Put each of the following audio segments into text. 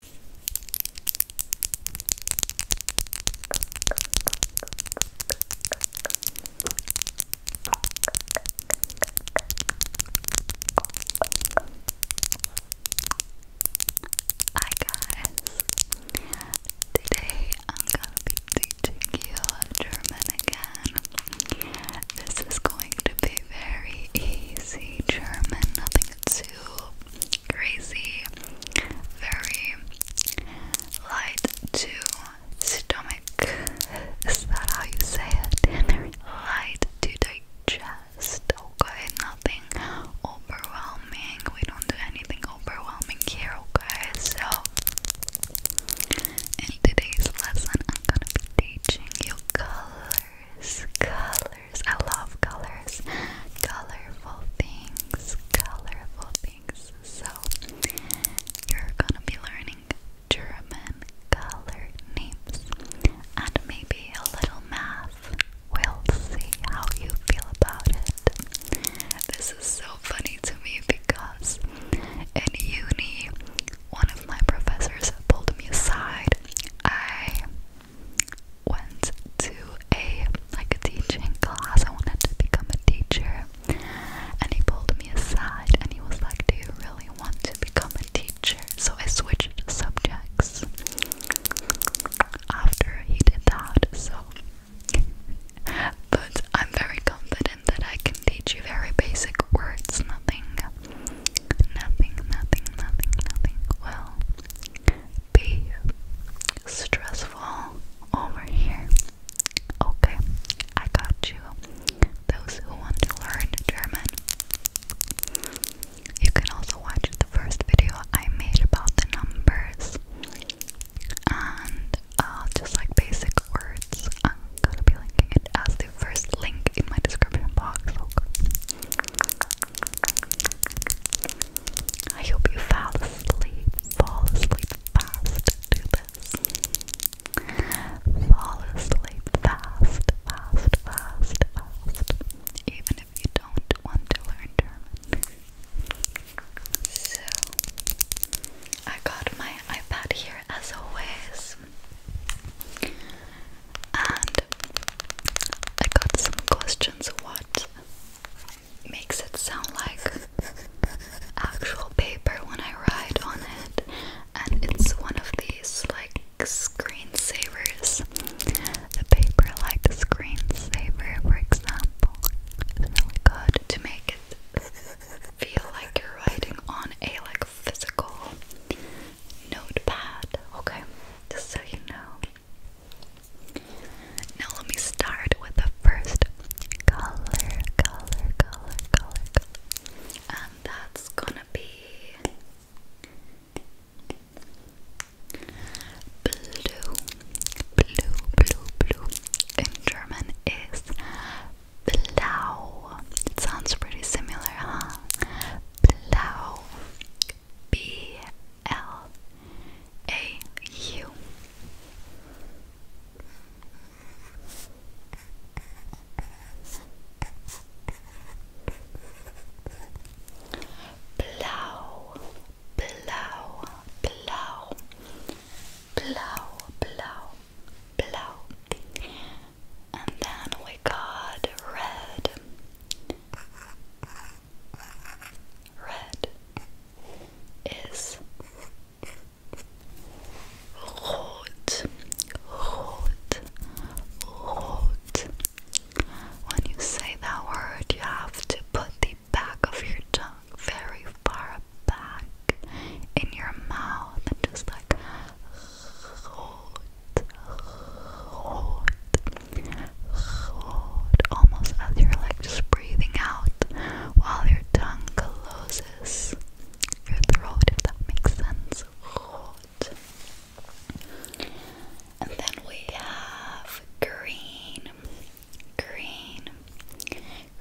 Hi guys! Today I'm gonna be teaching you German again. This is going to be very easy German, nothing too crazy, very light to stomach. Is that how you say it? light to digest. Okay, nothing overwhelming. We don't do anything overwhelming here. Okay, so in today's lesson, I'm gonna be teaching you colors, colors. I love colors. Colorful things. Colorful things. So you're gonna be learning German color names and maybe a little math. We'll see how you feel about it. This is so funny to me because in uni, one of my professors pulled me aside. I went to a like a teaching class. I wanted to become a teacher, and he pulled me aside and he was like, "Do you really want to become a teacher?" So I switched subjects after he did that. So, but I'm very confident that I can teach you very basic words, nothing Nothing, nothing, nothing, nothing will be stressful over here. Okay, I got you. Those who want to learn German, you can also watch the first video I made about the numbers and uh, just like basic words. I'm gonna be linking it as the first link in my description box. Okay. I hope you fall asleep, fall asleep fast to this. Fall asleep fast, fast, fast, fast. Even if you don't want to learn German. So, I got my iPad here as always and I got some questions what makes it sound like actual paper when I write on it and it's one of these like screensavers the paper like the screensaver for example it's really good to make it feel like you're writing on a like physical notepad okay just so you know now let me start with the first color, color, color, color, And that's gonna be blue, blue, blue, blue. In German is blau. It sounds pretty similar, huh? Blau, B L A U. Blau, blau, blau, blau, blau, blau. And then we got red, Red is rot, rot, rot. When you say that word, you have to put the back of your tongue very far back in your mouth and just like rot. Rot. Rot. Almost as you're like just breathing out while your tongue closes your throat, if that makes sense. Rot. And then we have green, green,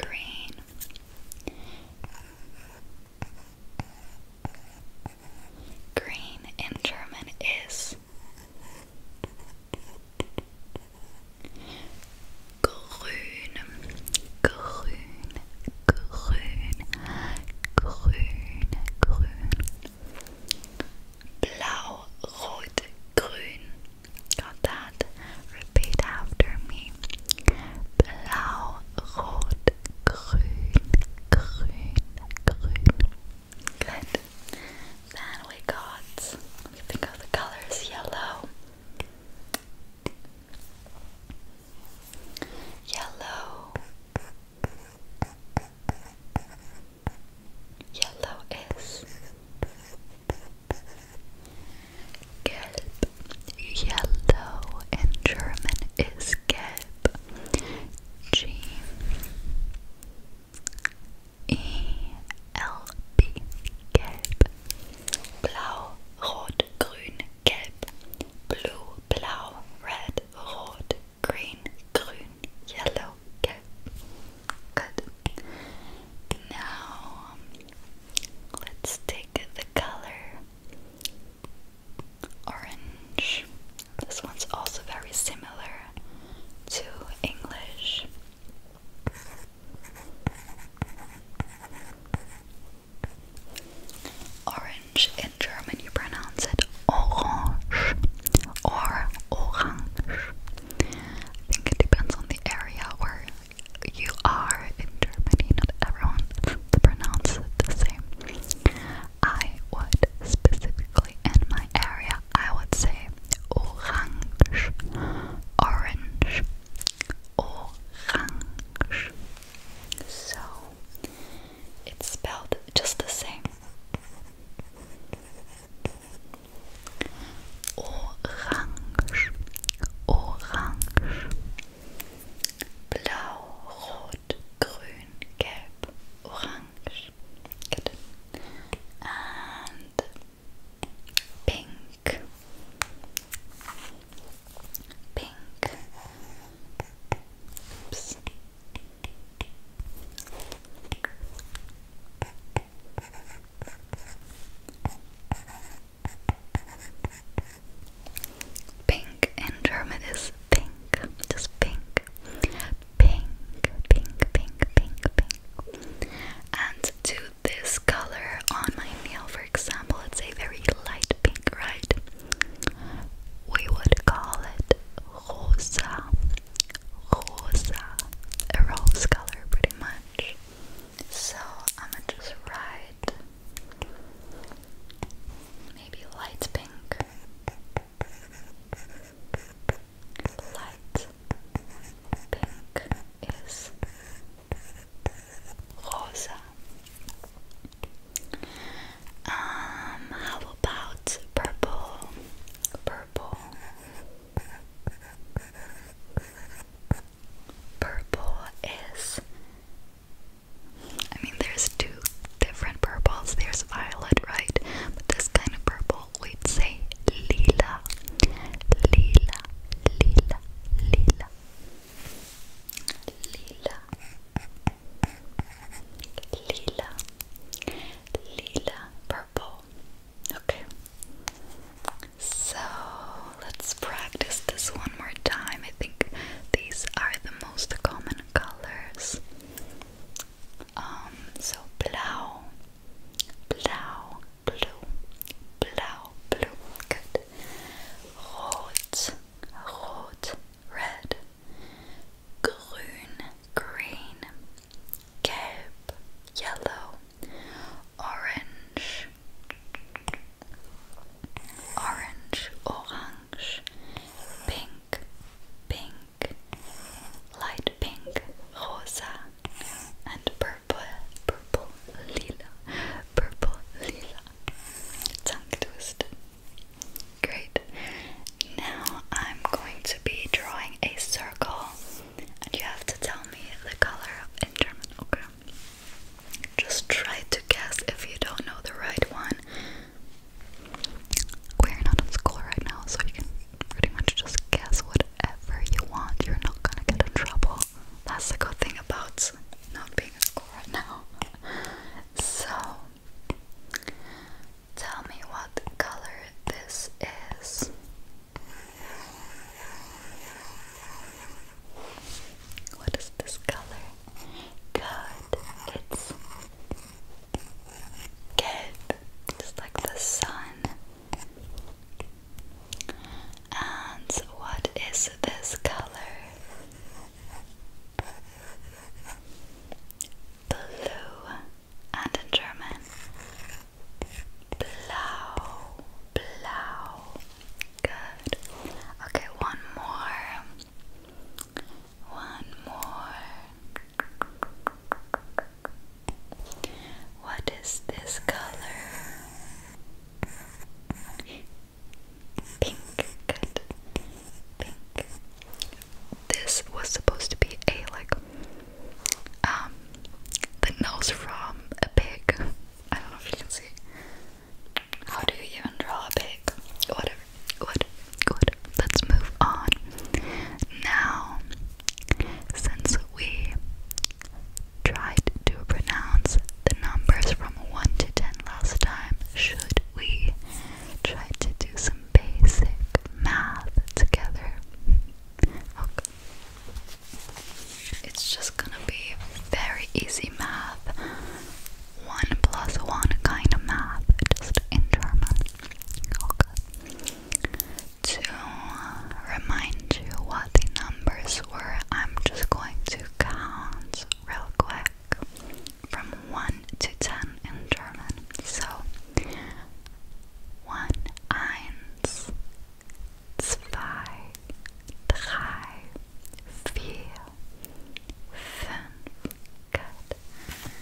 green. Green in German is grün, grün, grün, grün, grün. Blau, rot, grün. Got that? Repeat after me. Blau, rot, grün, grün, grün. Good. Then we got, think of the colors, yellow. Yellow. Yellow is gelb. Yellow in German is gelb. G E L B Gelb Blau, Blue, Blau, Red, Rot, Green, Yellow, Gelb Good. Now let's take the color orange this one's also very similar to English. Orange in German, you pronounce it orange or orange. I think it depends on the area where you are in Germany. Not everyone pronounces it the same. I would specifically in my area, I would say orange, orange, orange. So it's spelled just the same. Orange, orange, blau, rot, grün, gelb, orange. And pink. Pink. Pink in German pink, just pink, pink, pink, pink, pink, pink. And to this color on my nail, for example, it's a very light pink, right? We would call it rosa, rosa, a rose color, pretty much. So I'm gonna just write maybe light pink. Light pink is rosa. Um, how about purple? Purple. Purple is. I mean, there's two different purples. There's violet, right? But this kind of purple, we'd say lila. Lila, lila, lila. Lila. Lila. Lila purple. Okay. So let's practice this one more time. I think these are the most common colors. Um, so blau, blau, blue, blau, blue, good. Rot, rot, red. Grün, green. yellow. Orange, orange, orange. Pink pink, light pink, rosa, and purple, purple, lila, purple, lila. Tongue twist. Great. Now I'm going to be drawing a circle, and you have to tell me the color in German, okay? Just try to guess if you don't know the right one. We're not in school right now, so you can pretty much just guess whatever you want. You're not gonna get in trouble. That's the good thing about not being in school right now. So, tell me what color this is. What is this color? Good, it's get just like the sun. And what is this color? Blue, and in German, blau, blau. Good. Okay, one more. One more. What is this color? Pink. Good. Pink. This was supposed to be a like um the nose from a pig. I don't know if you can see. How do you even draw a pig? Whatever. Good, good. Let's move on. Now, since we tried to pronounce the numbers from 1 to 10 last time, should we try to do some basic math together? Okay. It's just gonna be very easy math one plus one kind of math, just in German. To remind you what the numbers were, I'm just going to count real quick from 1 to 10 in German. So, 1, 1, 2, 3, 4, 5, Good.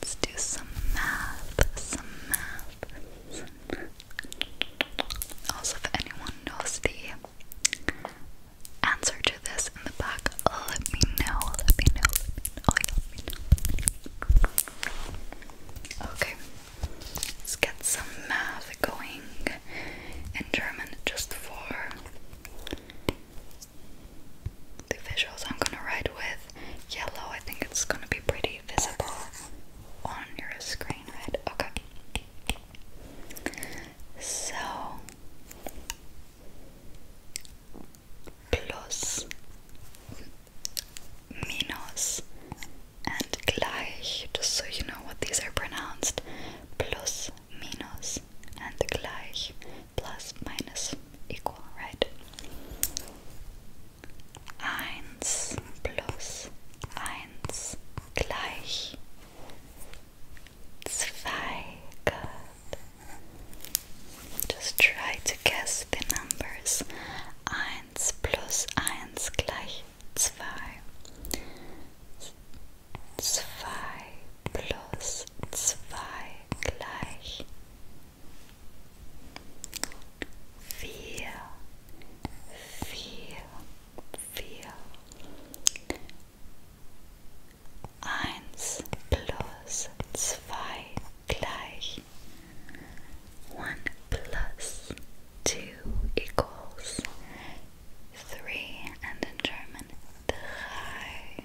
Let's do some math, some math, Also, if anyone knows the answer to this in the back, Let me know. Let me know. Okay, let's get some math going in German just for the visuals I'm gonna write with yellow. I think it's gonna be pretty visible on your screen, right? Okay. So plus minus and gleich, just so you know what these are pronounced. Plus minus and gleich plus minus equal, right? 1 plus 1 gleich 2, Just try to guess the numbers. 1 plus 1 gleich 2. Zwei plus zwei gleich vier, vier, plus zwei gleich one plus two equals three and in German drei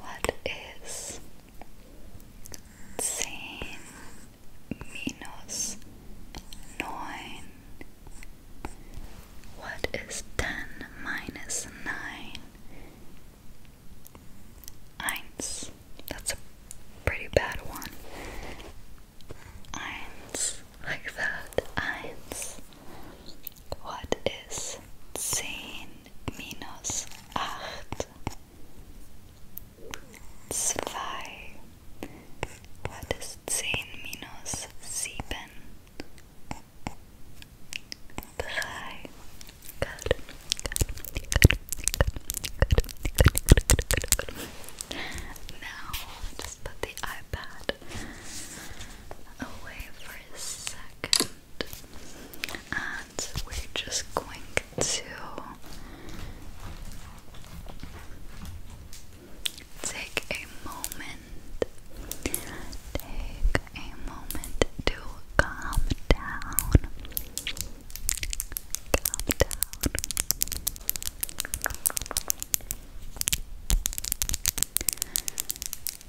What is zehn minus What is ten minus nine? Eins. That's a pretty bad one. Eins. Like that. Eins. What ist minus minus acht? Zwei. What ist Now just put the iPad away for a second. And we're just going to take a moment, take a moment to calm down, calm down.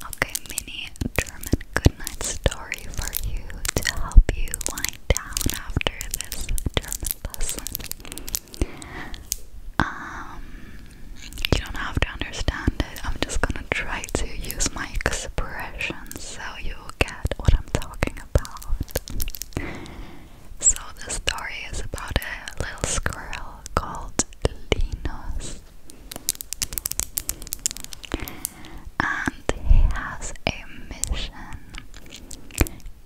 Okay, mini German goodnight story for you to help you wind down after this German lesson. Um, you don't have to understand it. I'm just gonna try to use my expressions so you'll get what I'm talking about. So the story is about a little squirrel called Linus. And he has a mission.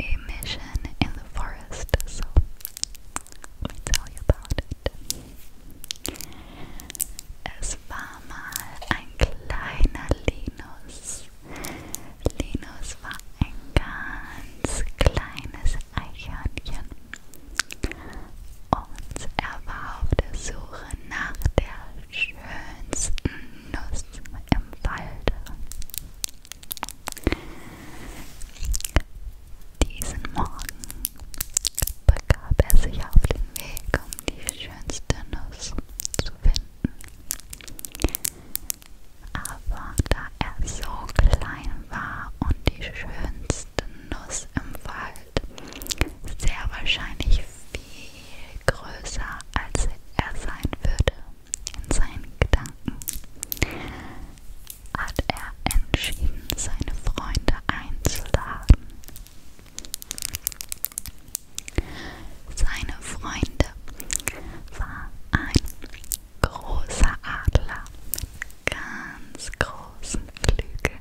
A mission in the forest, so let me tell you about it. Es war mal ein kleiner Linus. Linus war ein ganz kleines Eichhörnchen. Und er war auf der Suche nach der schönsten Nuss im Walde. Diesen Morgen begab er sich auf den Weg, um die schönste Nuss zu finden. Aber da er so klein war und die schönste Nuss im Wald sehr wahrscheinlich viel größer als er sein würde in seinen Gedanken hat er entschieden seine Freunde einzuladen seine Freunde war ein großer Adler mit ganz großen Flügeln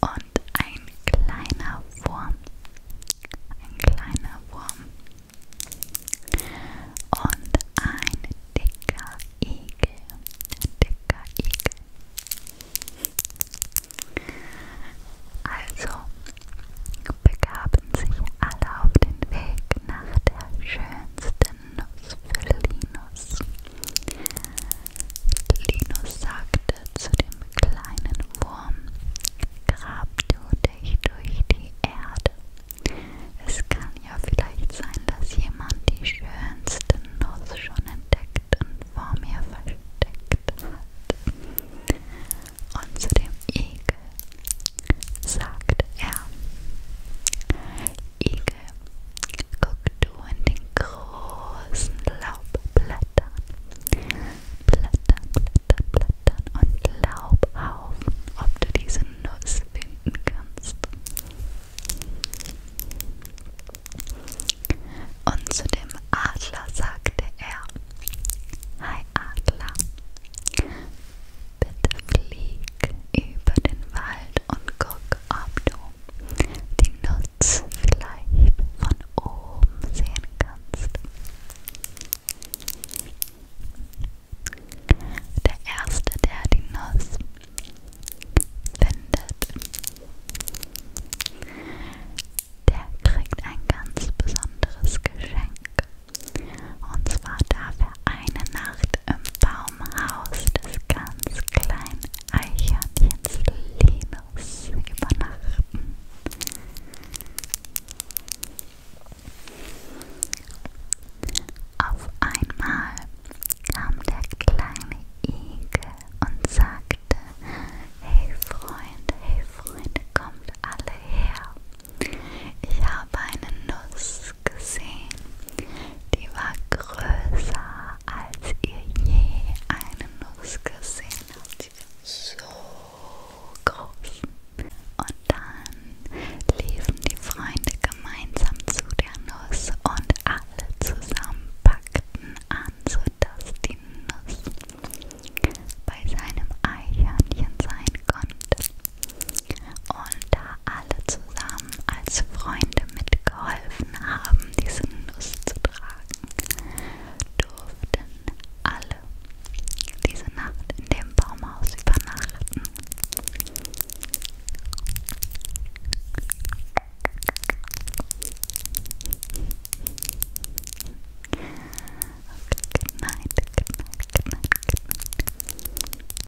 und ein kleiner Wurm. Ein kleiner Wurm. Und ein dicker Igel. Ein dicker Igel. Also begaben sich alle auf den Weg nach der schönsten Linus für Linus. Linus sagte zu dem kleinen Wurm: Grab du dich durch die Erde. Es kann ja vielleicht sein, dass jemand die schönste Nuss schon entdeckt und vor mir versteckt hat. Und zu dem Igel sagte er: Igel guckst du in den großen Laubblättern, Blättern, Blättern, Blättern und Laubhaufen, ob du diese Nuss finden kannst. Und zu dem Adler sagte er, Hi Adler, Bitte flieg über den Wald und guck, ob du die Nuss vielleicht von oben sehen kannst. Der Erste, der die Nuss findet, der kriegt ein ganz besonderes Geschenk. Und zwar darf er eine Nacht im Baumhaus des ganz kleinen Eichhörnchens Linus übernachten. Auf einmal kam der kleine Igel und sagte, hey Freund, hey Freund, kommt alle her. Ich habe eine Nuss gesehen die war größer, als ihr je eine Nuss gesehen habt. Die war so groß. Und dann liefen die Freunde gemeinsam zu der Nuss und alle zusammen packten an, sodass die Nuss bei seinem Eichhörnchen sein konnte und da alle zusammen als Freunde mitgeholfen haben, diese Nuss zu tragen, durften alle diese Nacht in dem Baumhaus übernachten. Okay, good night, good night, good night, good night.